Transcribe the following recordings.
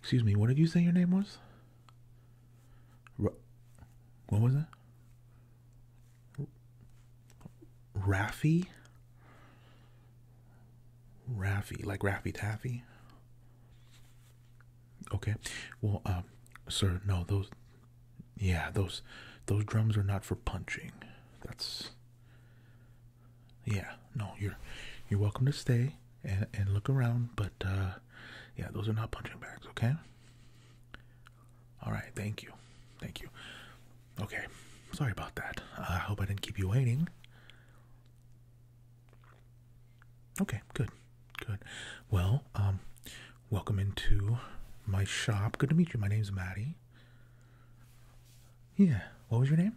Excuse me, what did you say your name was? what was it? Raffy? Raffy, like Raffy Taffy? Okay. Well, um, sir, no, those yeah, those those drums are not for punching. That's yeah, no, you're you're welcome to stay and, look around. But uh, yeah, those are not punching bags, okay? All right, thank you. Thank you. Okay, sorry about that. I hope I didn't keep you waiting. Okay, good, good. Well, um, welcome into my shop. Good to meet you. My name's Maddie. Yeah, what was your name?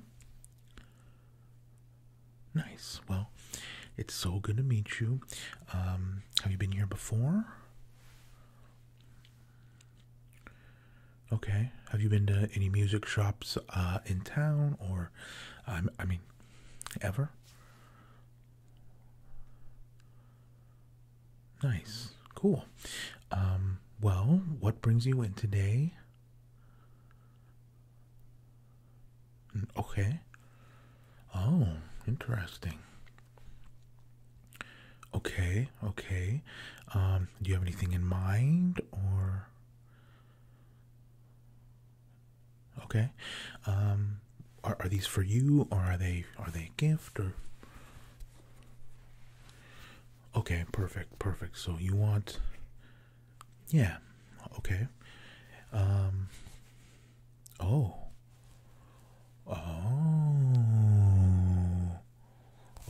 Nice. Well, it's so good to meet you. Um, have you been here before? Okay. Have you been to any music shops uh, in town or, um, I mean, ever? Nice. Cool. Um, well, what brings you in today? Okay. Oh, interesting. Okay, okay. Um, do you have anything in mind or Okay. Um, are, are these for you or are they are they a gift or Okay, perfect, perfect. So you want yeah. Okay. Um. Oh. Oh.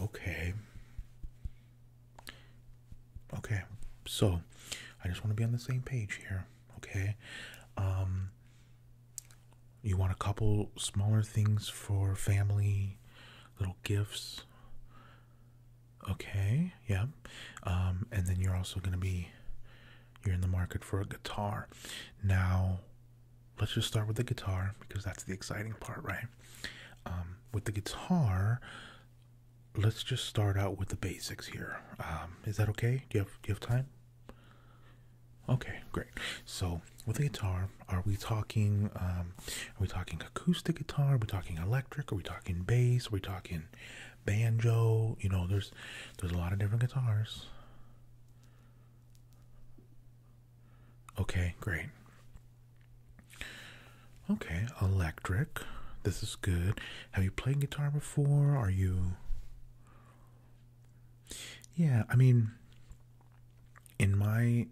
Okay. Okay. So, I just want to be on the same page here. Okay. Um. You want a couple smaller things for family, little gifts. Okay, yeah. Um, and then you're also going to be you're in the market for a guitar. Now, let's just start with the guitar because that's the exciting part, right? Um, with the guitar, let's just start out with the basics here. Um, is that okay? Do you have do you have time? Okay, great. So with the guitar, are we talking? Um, are we talking acoustic guitar? Are we talking electric? Are we talking bass? Are we talking banjo. You know, there's there's a lot of different guitars. Okay, great. Okay, electric. This is good. Have you played guitar before? Are you Yeah, I mean in my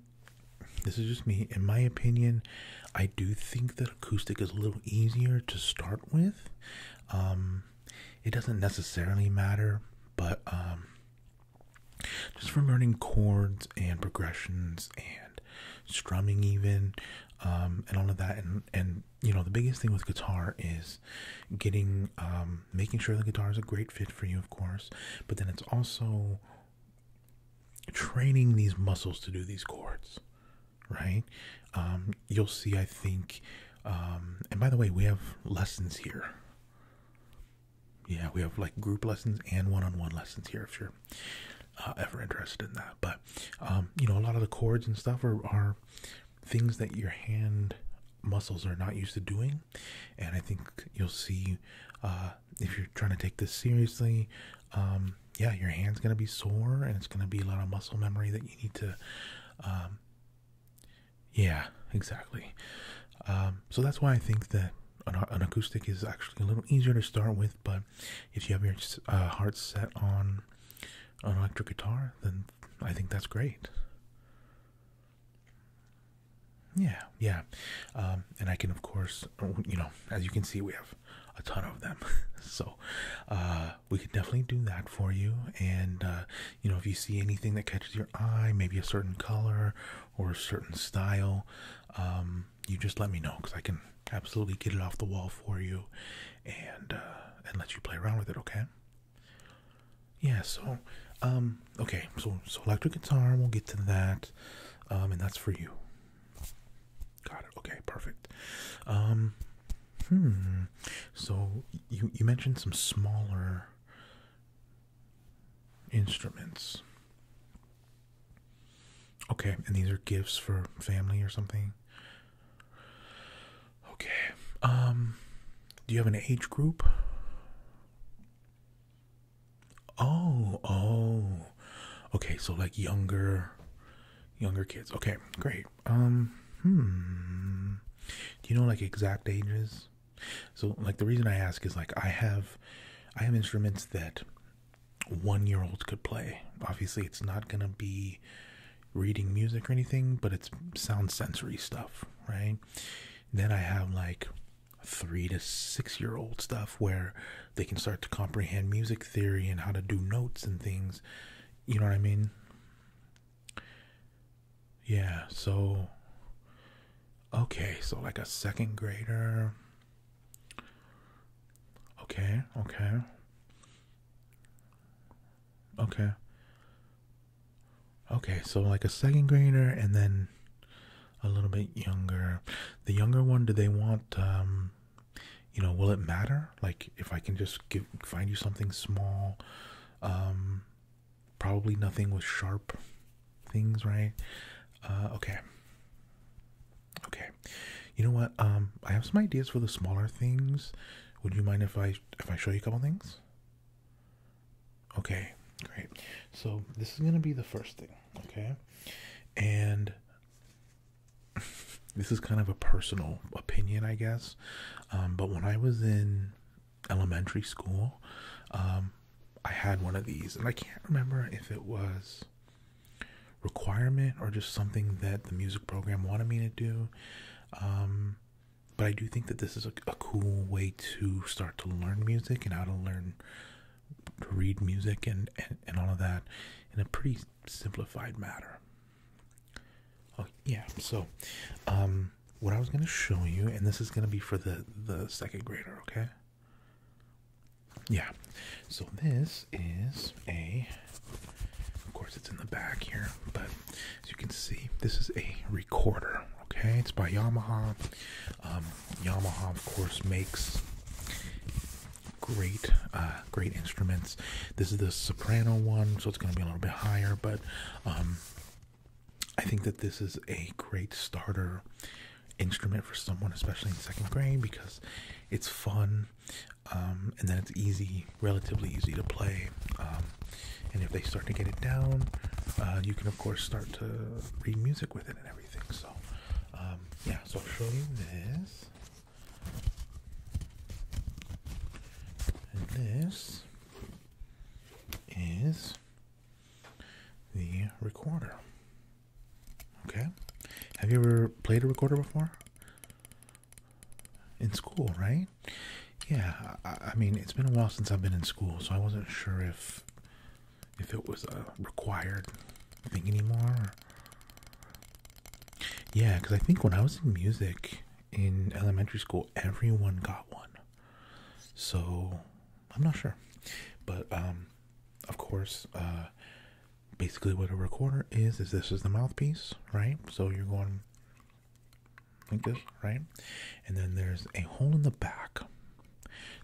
this is just me. In my opinion, I do think that acoustic is a little easier to start with. Um, it doesn't necessarily matter, but um, just from learning chords and progressions and strumming, even um, and all of that, and you know the biggest thing with guitar is getting making sure the guitar is a great fit for you, of course, but then it's also training these muscles to do these chords, right? Um, you'll see, I think, um, and by the way, we have lessons here. Yeah, we have like group lessons and one on one lessons here if you're uh, ever interested in that. But, um, you know, a lot of the chords and stuff are, things that your hand muscles are not used to doing. And I think you'll see uh, if you're trying to take this seriously, yeah, your hand's going to be sore and it's going to be a lot of muscle memory that you need to, um, yeah, exactly. Um, so that's why I think that an, an, acoustic is actually a little easier to start with, but if you have your uh, heart set on an electric guitar, then I think that's great. Yeah, yeah. Um, and I can, of course, you know, as you can see, we have a ton of them. so uh, we can definitely do that for you. And uh, you know, if you see anything that catches your eye, maybe a certain color or a certain style, um, you just let me know because I can absolutely get it off the wall for you and uh, and let you play around with it. Okay. Yeah. So um, okay. So so electric guitar. We'll get to that. Um, and that's for you. Got it. Okay, perfect. Um, hmm. So you you mentioned some smaller instruments. Okay, and these are gifts for family or something. Okay. Um, do you have an age group? Oh, oh. Okay, so like younger younger kids. Okay, great. Um hmm. Do you know like exact ages? So like the reason I ask is like I have I have instruments that one year old could play. Obviously it's not gonna be reading music or anything, but it's sound sensory stuff, right? Then I have like three to six year old stuff where they can start to comprehend music theory and how to do notes and things. You know what I mean? Yeah, so okay, so like a second grader. Okay, okay. Okay. Okay, so like a second grader and then a little bit younger. The younger one, do they want um you know will it matter like if i can just find you something small um probably nothing with sharp things right uh okay okay you know what um i have some ideas for the smaller things would you mind if i if i show you a couple things okay great so this is gonna be the first thing okay and this is kind of a personal opinion, I guess. Um, but when I was in elementary school, um, I had one of these, and I can't remember if it was requirement or just something that the music program wanted me to do. Um, but I do think that this is a, cool way to start to learn music and how to learn to read music and, and, all of that in a pretty simplified matter. Oh yeah, so um, what I was gonna show you, and this is gonna be for the the second grader, okay? Yeah. So this is a of course it's in the back here, but as you can see, this is a recorder, okay? It's by Yamaha. Um, Yamaha of course makes great uh, great instruments this is the soprano one so it's going to be a little bit higher but um, i think that this is a great starter instrument for someone especially in second grade because it's fun um, and then it's easy relatively easy to play um, and if they start to get it down uh, you can of course start to read music with it and everything so yeah so i'll show you this and this is the recorder. Okay? Have you ever played a recorder before? In school, right? Yeah, I, mean, it's been a while since I've been in school, so I wasn't sure if if it was a uh, required thing anymore yeah, because I think when I was in music in elementary school, everyone got one. So I'm not sure. But, um, of course, uh, basically what a recorder is, is this is the mouthpiece, right? So you're going like this, right? And then there's a hole in the back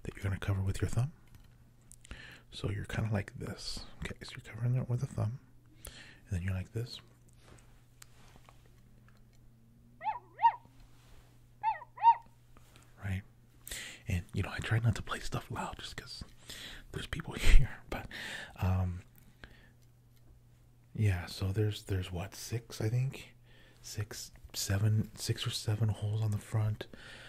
that you're going to cover with your thumb. So you're kind of like this. Okay, so you're covering it with a thumb, and then you're like this. Right? And you know, I try not to play stuff loud just because there's people here, but um, yeah, so there's there's what, six I think? Six seven six or seven holes on the front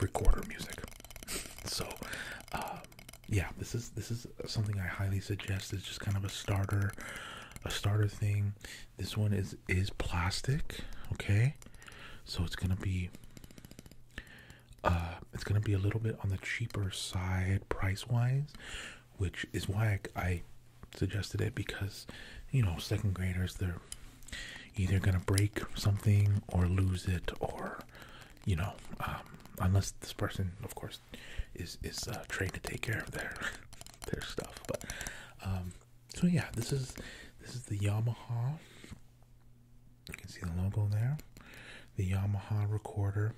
recorder music. so, um, yeah, this is this is something I highly suggest. It's just kind of a starter, a starter thing. This one is is plastic, okay? So it's gonna be, uh, it's gonna be a little bit on the cheaper side price wise, which is why I suggested it because, you know, second graders they're either gonna break something or lose it or you know um, unless this person of course is is uh, trained to take care of their their stuff but um, so yeah this is this is the Yamaha you can see the logo there the Yamaha recorder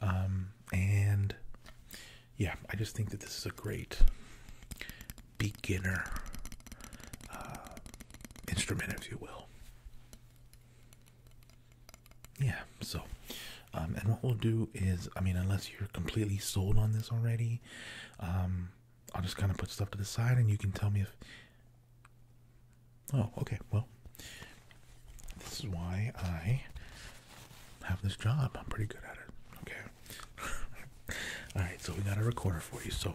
um, and yeah I just think that this is a great beginner uh, instrument if you will yeah so um, and what we'll do is i mean unless you're completely sold on this already um, i'll just kind of put stuff to the side and you can tell me if oh okay well this is why i have this job i'm pretty good at it okay all right so we got a recorder for you so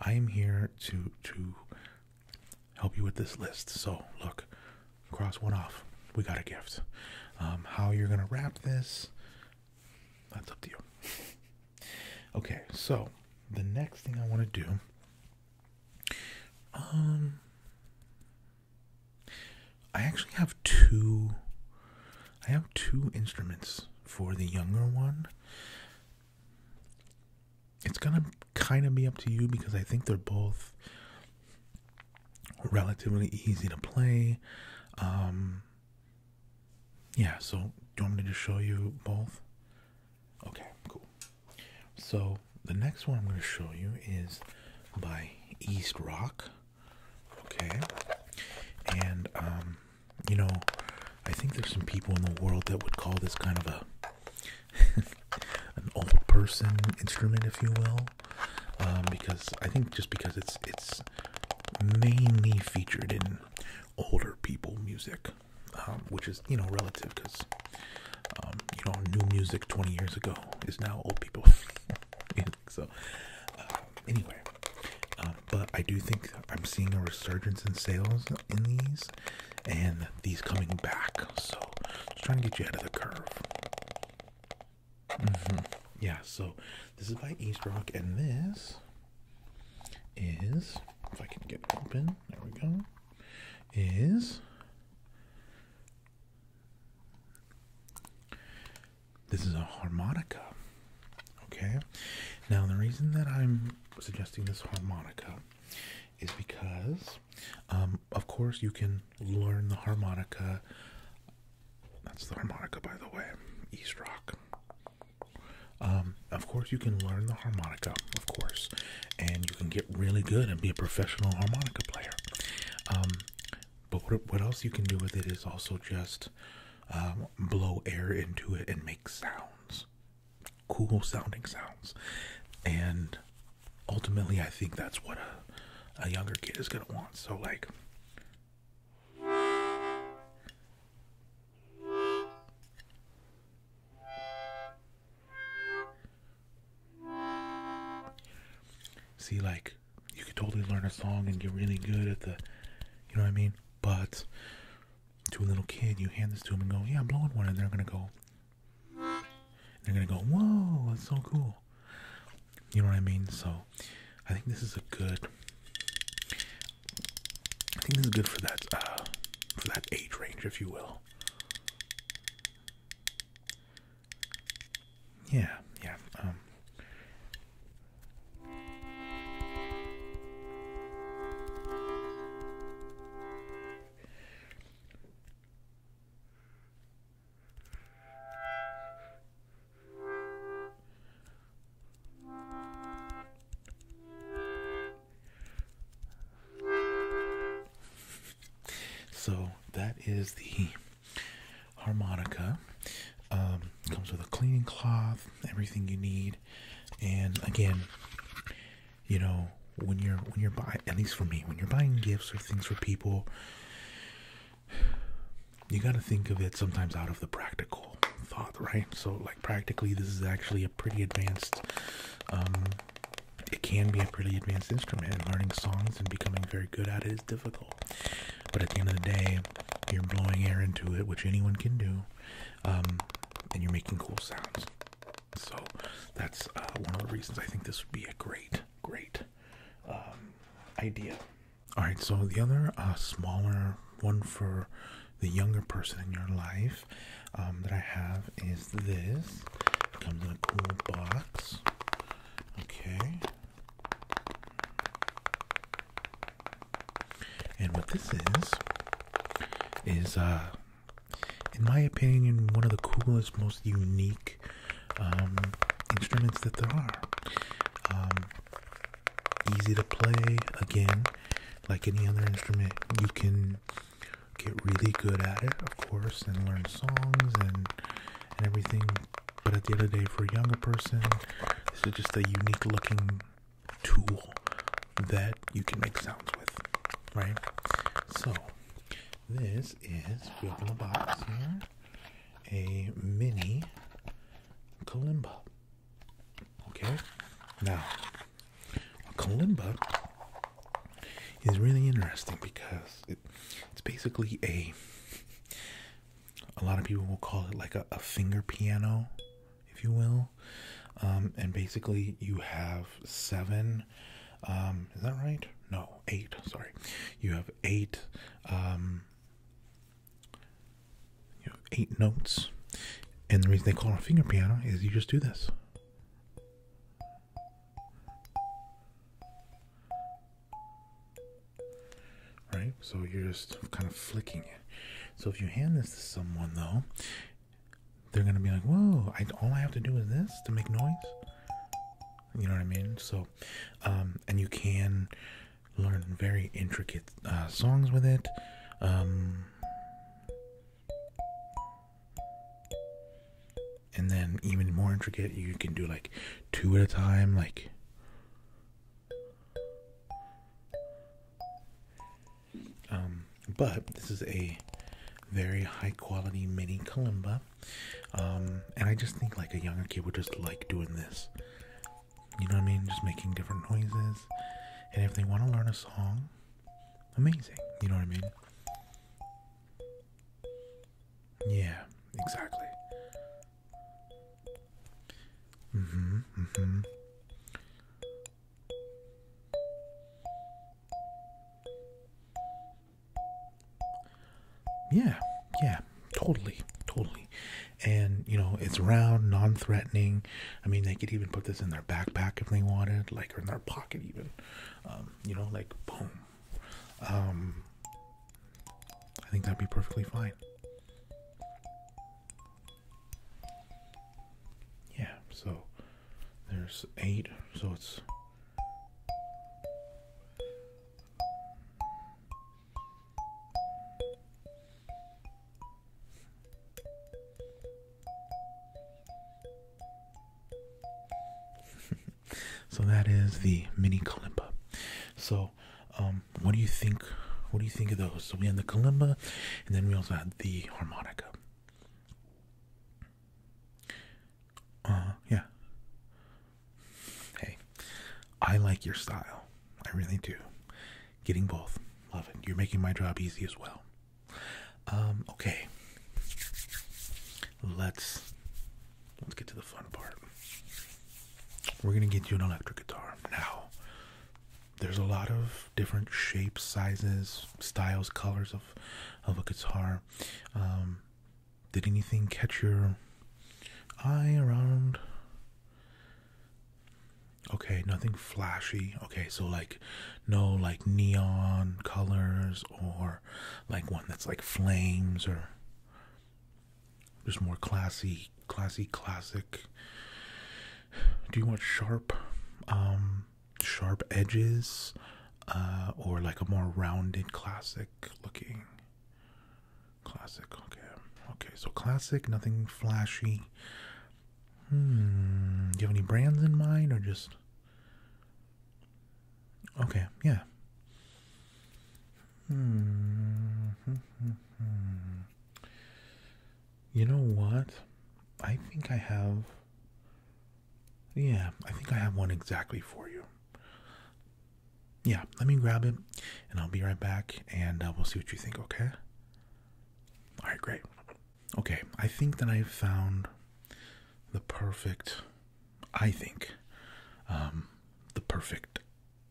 i am here to to help you with this list. So, look, cross one off. We got a gift. Um, how you're going to wrap this, that's up to you. okay, so the next thing I want to do. Um, I actually have two. I have two instruments for the younger one it's gonna kind of be up to you because I think they're both relatively easy to play. Um, yeah, so do you want me to show you both? Okay, cool. So the next one I'm going to show you is by East Rock. Okay, and um, you know, I think there's some people in the world that would call this kind of a an old person instrument, if you will, um, because I think just because it's it's mainly featured in older people music, um, which is you know relative because um, you know new music twenty years ago is now old people. so uh, anyway, uh, but I do think I'm seeing a resurgence in sales in these and these coming back. So just trying to get you out of the curve. Mm-hmm. Yeah, so this is my East Rock, and this is if I can get it open, there we go. Is this is a harmonica. Okay. Now the reason that I'm suggesting this harmonica is because, um, of course, you can learn the harmonica. That's the harmonica, by the way, East Rock. Um, of course, you can learn the harmonica, of course, and you can get really good and be a professional harmonica player. Um, but what, else you can do with it is also just blow air into it and make sounds cool sounding sounds. And ultimately, I think that's what a, a younger kid is going to want. So, like, see, like, you could totally learn a song and get really good at the, you know what I mean? But to a little kid, you hand this to them and go, "Yeah, I'm blowing one," and they're gonna go, they're gonna go, "Whoa, that's so cool." You know what I mean? So, I think this is a good. I think this is good for that uh, for that age range, if you will. Yeah, yeah. Um. So that is the harmonica. Um, comes with a cleaning cloth, everything you need, and again, you know, when you're when you're buying, at least for me, when you're buying gifts or things for people, you got to think of it sometimes out of the practical thought, right? So, like practically, this is actually a pretty advanced. Um, it can be a pretty advanced instrument. And learning songs and becoming very good at it is difficult. But at the end of the day, you're blowing air into it, which anyone can do. Um, and you're making cool sounds. So that's uh, one of the reasons I think this would be a great, great um, idea. All right, so the other uh, smaller one for the younger person in your life um, that I have is this. comes in a cool box. Okay. And what this is is uh in my opinion, one of the coolest, most unique um, instruments that there are. Um, easy to play, again, like any other instrument, you can get really good at it, of course, and learn songs and, and everything. But at the end of the day, for a younger person, this is just a unique looking tool that you can make sounds with, right? So, this is, open the box here, a mini kalimba. Okay? Now, a kalimba is really interesting because it's basically a, a lot of people will call it like a finger piano, if you will. Um, and basically, you have seven. Um, is that right? No, eight. Sorry, you have eight. Um, you have eight notes, and the reason they call it a finger piano is you just do this. Right, so you're just kind of flicking it. So if you hand this to someone, though, they're gonna be like, "Whoa! all I have to do is this to make noise." You know what I mean? So, um, and you can learn very intricate uh, songs with it. Um, and then even more intricate, you can do like two at a time, like um, but this is a very high quality mini kalimba. Um, and I just think like a younger kid would just like doing this. You know what I mean? Just making different noises. And if they want to learn a song, amazing. You know what I mean? Yeah, exactly. Mm-hmm, mm-hmm. Yeah, yeah, totally, totally. And you know, it's round, non-threatening. I mean, they could even put this in their backpack if they wanted, like, or in their pocket even. Um, you know, like, boom. Um, I think that'd be perfectly fine. Yeah, so there's eight, so it's so that is the mini kalimba. So, um, what do you think? What do you think of those? So we had the kalimba, and then we also had the harmonica. Uh, yeah. Hey, I like your style. I really do. Getting both. Love it. You're making my job easy as well. Um, okay. Let's let's get to the fun part. We're gonna get you an electric guitar. Now there's a lot of different shapes, sizes, styles, colors of of a guitar. Um, did anything catch your eye around? Okay, nothing flashy. Okay, so like no like neon colors or like one that's like flames or just more classy, classy, classic. Do you want sharp? Um, sharp edges uh, or like a more rounded classic looking classic okay okay so classic nothing flashy hmm do you have any brands in mind or just okay yeah hmm, hmm, hmm, hmm you know what? I think I have. Yeah, I think I have one exactly for you. Yeah, let me grab it and I'll be right back and uh, we'll see what you think, okay? All right, great. Okay, I think that I've found the perfect, I think, um, the perfect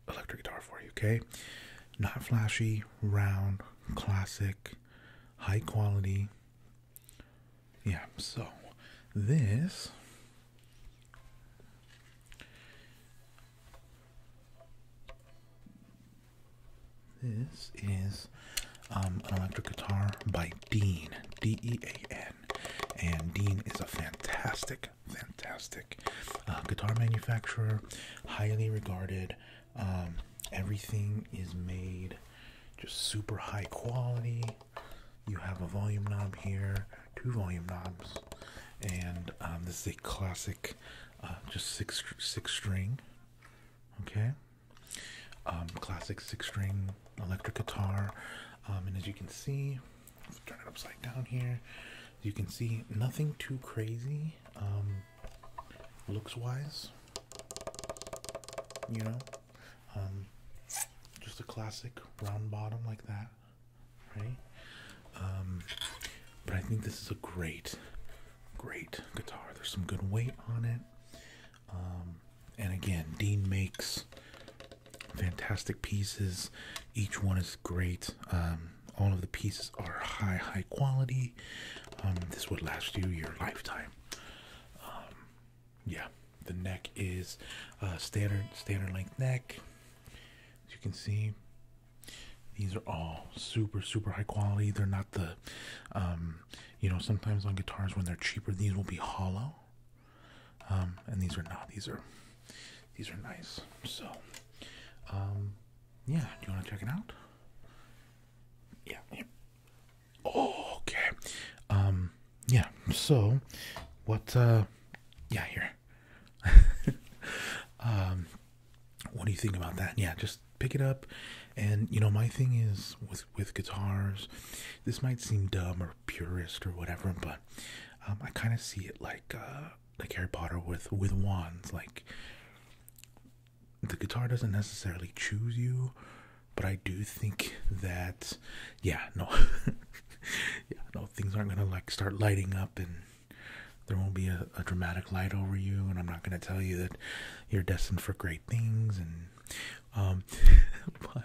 electric guitar for you, okay? Not flashy, round, classic, high quality. Yeah, so this this is um, an electric guitar by Dean, D E A N. And Dean is a fantastic, fantastic uh, guitar manufacturer, highly regarded. Um, everything is made just super high quality. You have a volume knob here, two volume knobs, and um, this is a classic, uh, just six six string. Okay, um, classic six string electric guitar, and as you can see, turn it upside down here. You can see nothing too crazy looks wise. You know, um, just a classic round bottom like that, right? Um, but I think this is a great, great guitar. There's some good weight on it. Um, and again, Dean makes fantastic pieces. Each one is great. all of the pieces are high, high quality. Um, this would last you your lifetime. Um, yeah, the neck is uh, standard standard length neck. As you can see, these are all super super high quality. They're not the, um, you know, sometimes on guitars when they're cheaper, these will be hollow. and these are not. These are these are nice. So, yeah, do you want to check it out? Yeah. Oh, okay. Um, yeah. So, what? Uh, yeah, here. um, what do you think about that? Yeah, just pick it up. And you know, my thing is with with guitars. This might seem dumb or purist or whatever, but um, I kind of see it like uh, like Harry Potter with with wands, like the guitar doesn't necessarily choose you, but I do think that, yeah, no, yeah, no, things aren't gonna like start lighting up and there won't be a, a dramatic light over you, and I'm not gonna tell you that you're destined for great things and um but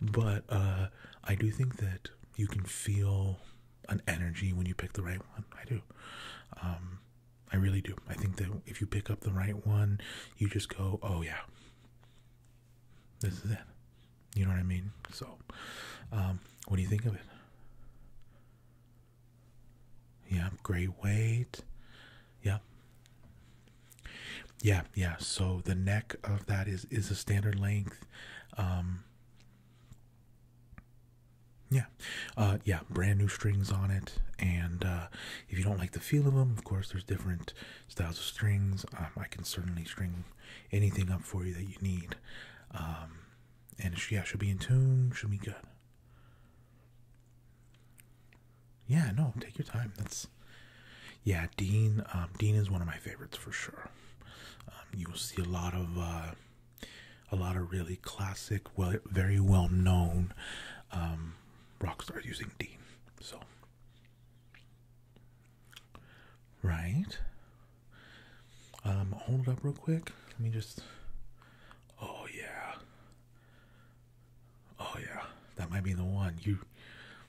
but uh I do think that you can feel an energy when you pick the right one. I do. Um I really do. I think that if you pick up the right one, you just go, oh yeah, this is it. You know what I mean? So, um, what do you think of it? Yeah, great weight. Yeah. Yeah, yeah. So the neck of that is is a standard length. Um, yeah, uh, yeah, brand new strings on it. And uh, if you don't like the feel of them, of course, there's different styles of strings. Um, I can certainly string anything up for you that you need. Um, and yeah, should be in tune, should be good. Yeah, no, take your time. That's yeah, Dean. Um, Dean is one of my favorites for sure. you will see a lot of uh, a lot of really classic, well, very well known um, rock stars using D. So, right. Um, hold it up real quick. Let me just. Oh yeah. Oh yeah. That might be the one. You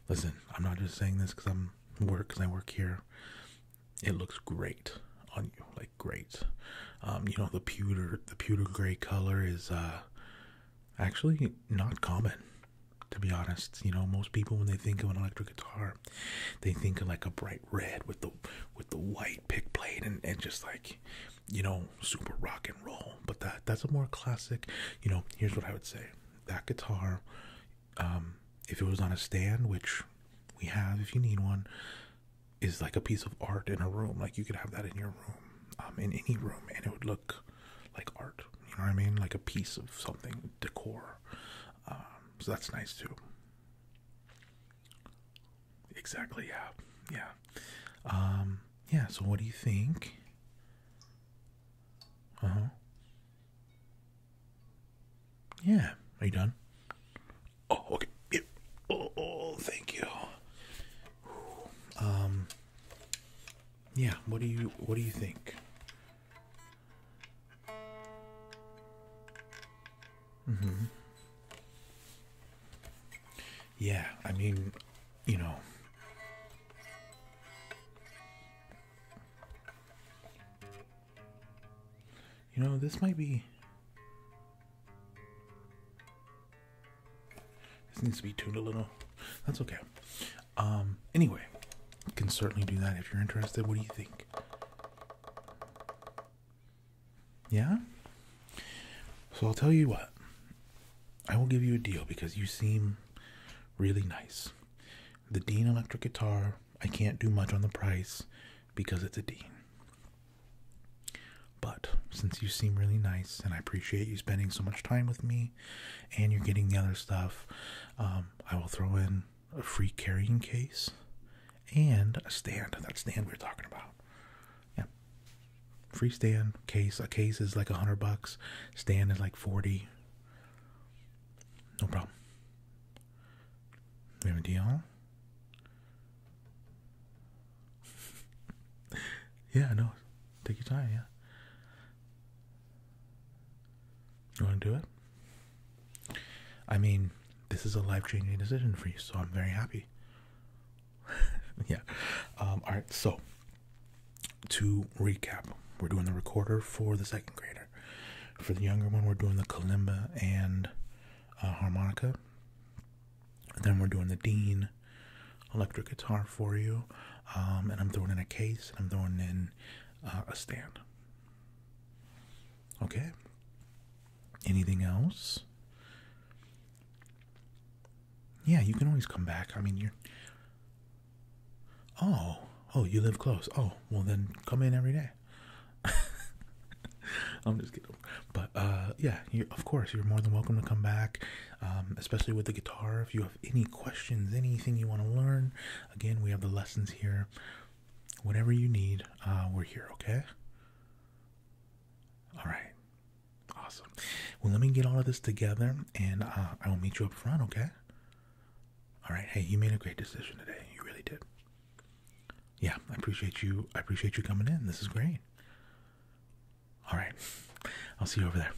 listen. I'm not just saying this because I'm work because I work here. It looks great on you. Like great. Um, you know the pewter the pewter gray color is uh actually not common to be honest. You know, most people when they think of an electric guitar, they think of like a bright red with the with the white pick plate and, and just like you know, super rock and roll. But that that's a more classic, you know, here's what I would say. That guitar, um, if it was on a stand, which we have if you need one, is like a piece of art in a room. Like you could have that in your room, um, in any room, and it would look like art. You know what I mean? Like a piece of something, decor. Um, so that's nice too. Exactly. Yeah. Yeah. Um, yeah. So what do you think? Uh huh. Yeah. Are you done? Oh, okay. Yeah. Oh, oh, thank you. Um. Yeah. What do you What do you think? Mm-hmm. Yeah. I mean, you know. You know, this might be this needs to be tuned a little. That's okay. Um, anyway, you can certainly do that if you're interested. What do you think? Yeah? So I'll tell you what. I will give you a deal because you seem really nice. The Dean electric guitar, I can't do much on the price because it's a Dean. But since you seem really nice and I appreciate you spending so much time with me and you're getting the other stuff, um, I will throw in a free carrying case and a stand. That stand we we're talking about. Yeah. Free stand, case. A case is like a hundred bucks, stand is like 40. No problem. We have a deal. yeah, no. Take your time, yeah. You want to do it? I mean, this is a life changing decision for you, so I'm very happy. yeah. Um, all right, so to recap, we're doing the recorder for the second grader. For the younger one, we're doing the kalimba and uh, harmonica then we're doing the Dean electric guitar for you. Um, and I'm throwing in a case and I'm throwing in uh, a stand. Okay. Anything else? Yeah, you can always come back. I mean, you're. Oh, oh, you live close. Oh, well, then come in every day. I'm just kidding. But uh, yeah, of course, you're more than welcome to come back, um, especially with the guitar. If you have any questions, anything you want to learn, again, we have the lessons here. Whatever you need, uh, we're here, okay? All right. Awesome. Well, let me get all of this together and uh, I will meet you up front, okay? All right. Hey, you made a great decision today. You really did yeah, I appreciate you. I appreciate you coming in. This is great. All right. I'll see you over there.